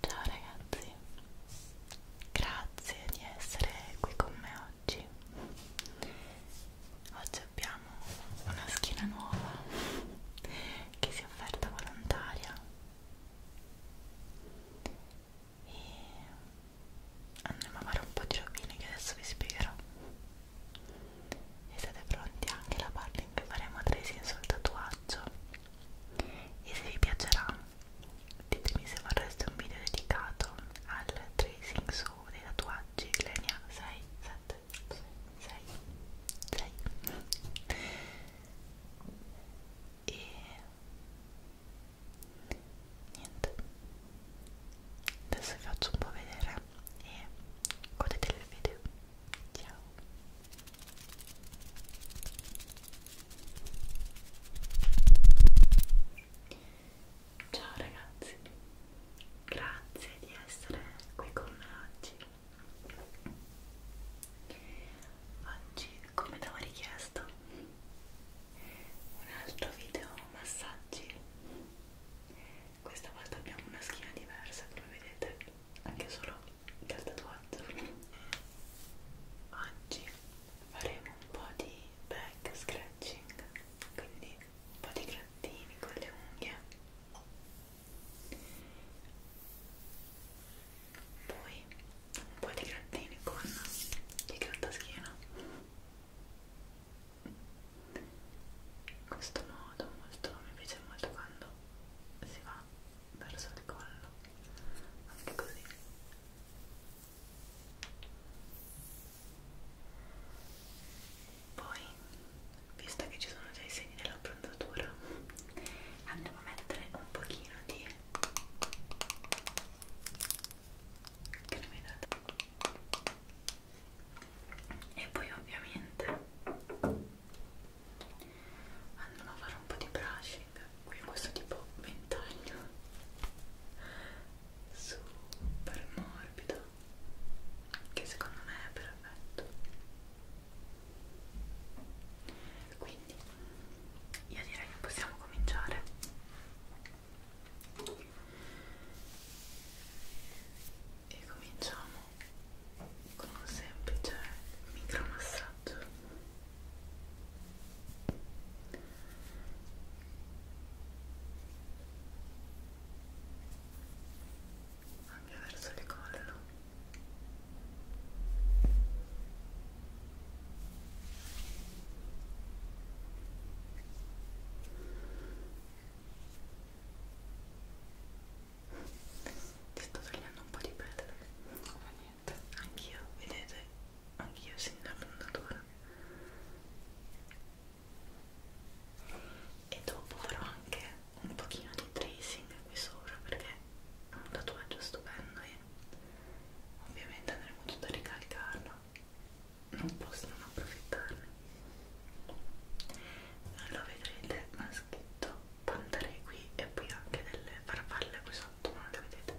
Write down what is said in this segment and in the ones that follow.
Ciao ragazzi, grazie di essere qui con me oggi. Oggi abbiamo una schiena nuova che si è offerta volontaria e andremo a fare un po' di rovine che adesso vi spiegherò e siete pronti anche alla parte in cui faremo tracing sul tatuaggio e se vi piacerà ditemi se vorreste un video dedicato al tracing su dei tatuaggi che ne ha 6, 7, 6, 6 e niente adesso vi faccio un po' vedere e godetevi il video ciao ciao ragazzi grazie di essere qui con me oggi oggi come ti avevo richiesto un altro video massaggi questa volta abbiamo una schiena diversa come vedete anche solo dal tatuaggio oggi faremo un po' di back scratching quindi un po' di grattini con le unghie poi un po' di grattini con il grattaschino in questo modo molto, mi piace molto quando si va verso il collo anche così poi visto che ci sono già i segni della prontatura andiamo a mettere un pochino di che ne mi date e poi ovviamente andremo a fare un po' di brushing qui questo tipo ventaglio super morbido che secondo me è perfetto quindi io direi che possiamo cominciare e cominciamo con un semplice micromassaggio anche verso le collo ti sto togliendo un po' di pelle, ma niente, anch'io, vedete, anch'io si innamoratura. E dopo farò anche un pochino di tracing qui sopra perché è un tatuaggio stupendo e ovviamente andremo tutto a ricalcarlo non posso non approfittarne lo vedrete ma scritto pantare qui e poi anche delle farfalle qui sotto non le vedete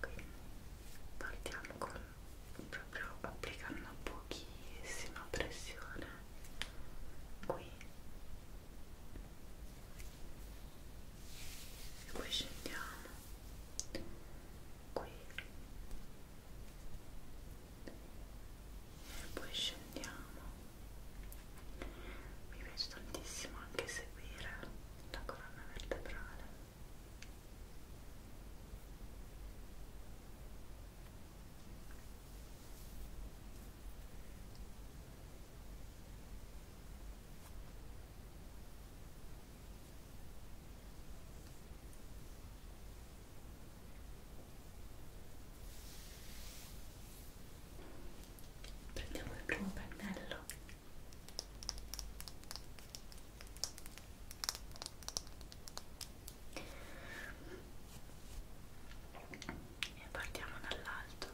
quindi partiamo con proprio applicando pochissima pressione qui e poi scendiamo qui e poi scendiamo mi piace tantissimo anche seguire la colonna vertebrale prendiamo il primo pennello e partiamo dall'alto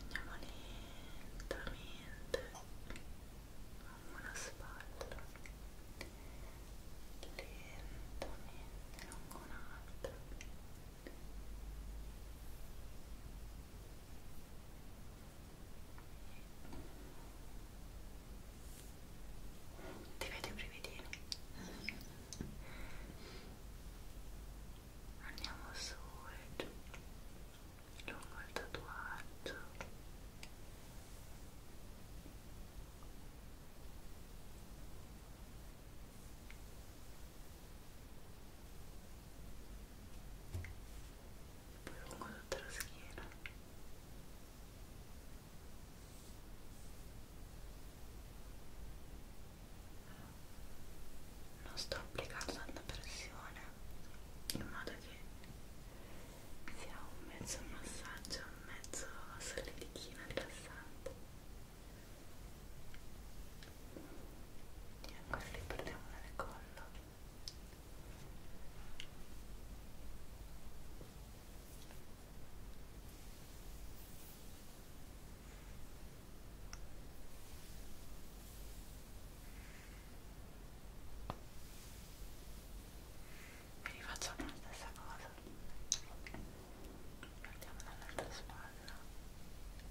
andiamo lentamente lungo la spalla lentamente lungo un'altra ti vedo i brividini andiamo su e giù lungo il tatuaggio poi lungo tutta la schiena e non sto applicando tanta pressione in modo che sia un mezzo massaggio un mezzo solidichino rilassante e ancora li prendiamo nel collo e rifacciamo la stessa cosa partiamo dall'altra spalla e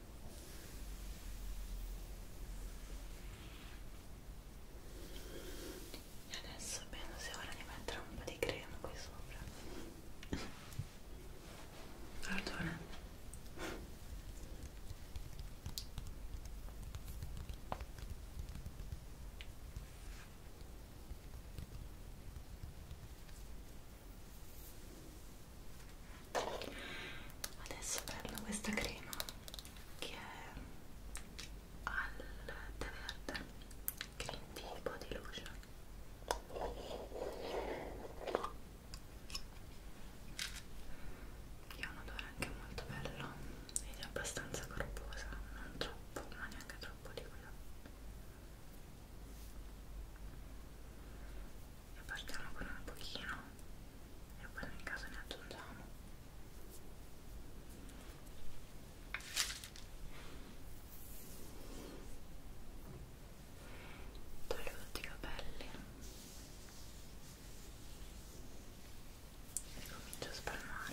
E adesso penso sia ora di mettere un po' di crema qui sopra. Pardona adesso prendo questa crema che è al tè verde green tea body lotion che ha un odore anche molto bello ed è abbastanza corposa non troppo ma neanche troppo liquida e partiamo con un pochino e poi nel caso ne aggiungiamo toglio tutti i capelli e comincio a spalmare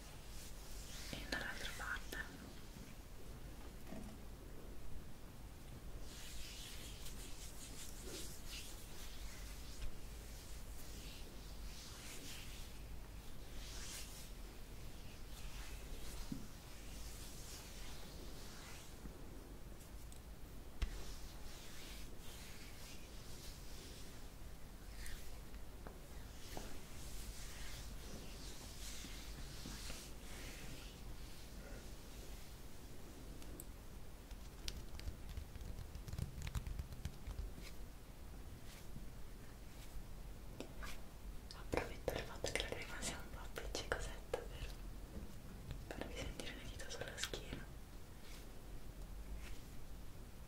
e dall'altra parte Approfitto del fatto che la crema sia un po' appiccicosetta per farvi sentire le dita sulla schiena.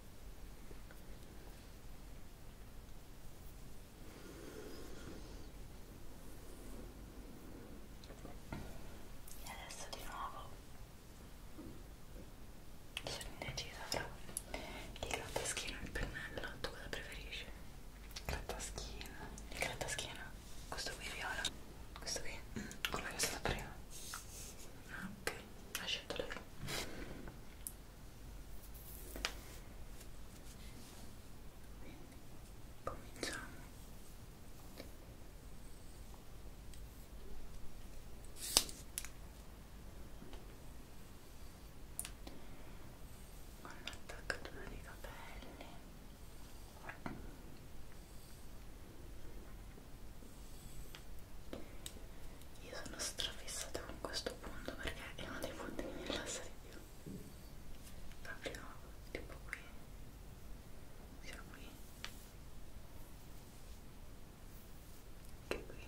e adesso di nuovo sono indecisa fra il grattaschino e il pennello tu cosa preferisci? grattaschino il grattaschino? questo qui viola? questo qui? quello mm, che è stato prima? ok ha scelto lei quindi cominciamo con l'attaccatura dei capelli io sono strafissata con questo punto perché è uno dei punti che mi rilassa di più. Proprio tipo qui. Sia qui. Che qui. Io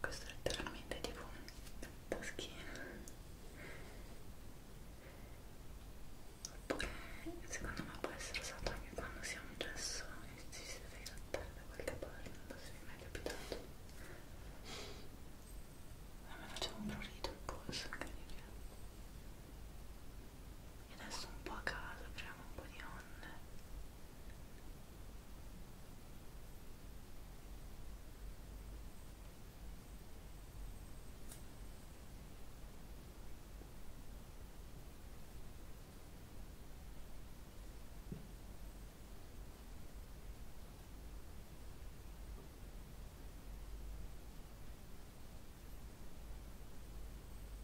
questo è letteralmente tipo un taschino oppure secondo me può essere usato anche quando si ha un gesso e ci si deve grattare da qualche parte non so se vi è mai capitato a me faceva un prurito in polso incredibile e adesso un po' a caso apriamo un po' di onde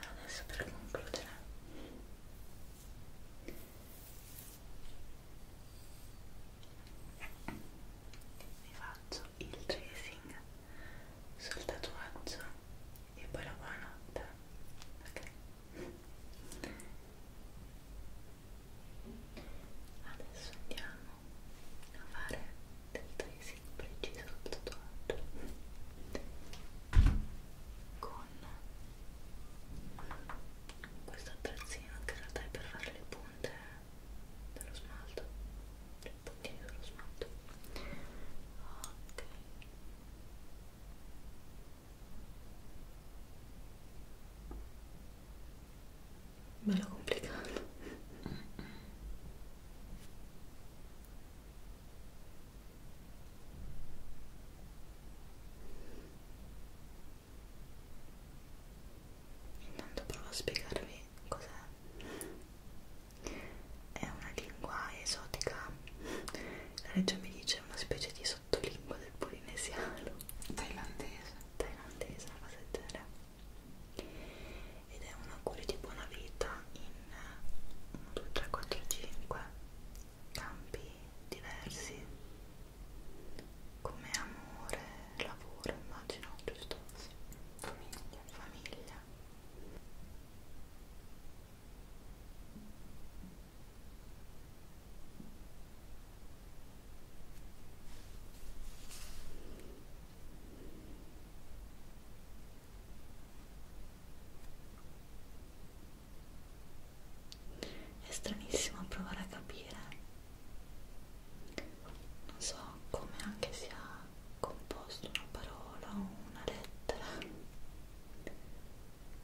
Adesso per concludere vi faccio il tracing sul tatuaggio e poi la buonanotte ok adesso andiamo a fare del tracing preciso sul tatuaggio con questo attrezzino che in realtà è per fare le punte dello smalto le puntine dello smalto ok ok bello complicato intanto provo a spiegarvi cos'è è una lingua esotica la regia mi dice una specie di sottolingua del polinesiano Thailandese. Thailandese, una cosa del genere. Ed è un augurio di buona vita in 1, 2, 3, 4, 5 campi diversi come amore, lavoro, immagino, giusto? Sì. Famiglia. Famiglia. È stranissimo provare a capire, non so come anche sia composto una parola o una lettera,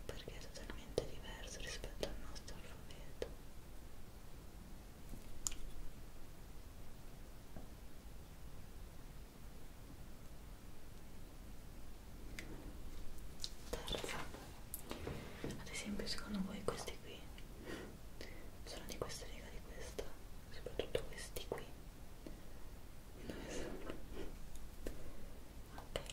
perché è totalmente diverso rispetto al nostro alfabeto terza ad esempio secondo voi questi qui sono di questa riga di questa soprattutto questi qui dove sono ok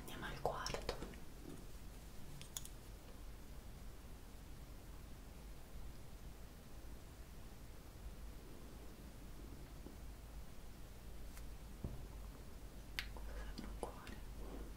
Andiamo al quarto. Cosa un cuore?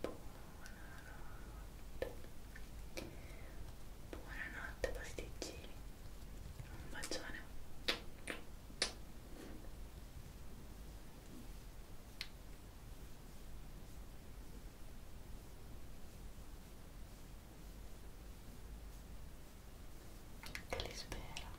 Buonanotte. Buonanotte pasticcini. Un bacione. Che li spero.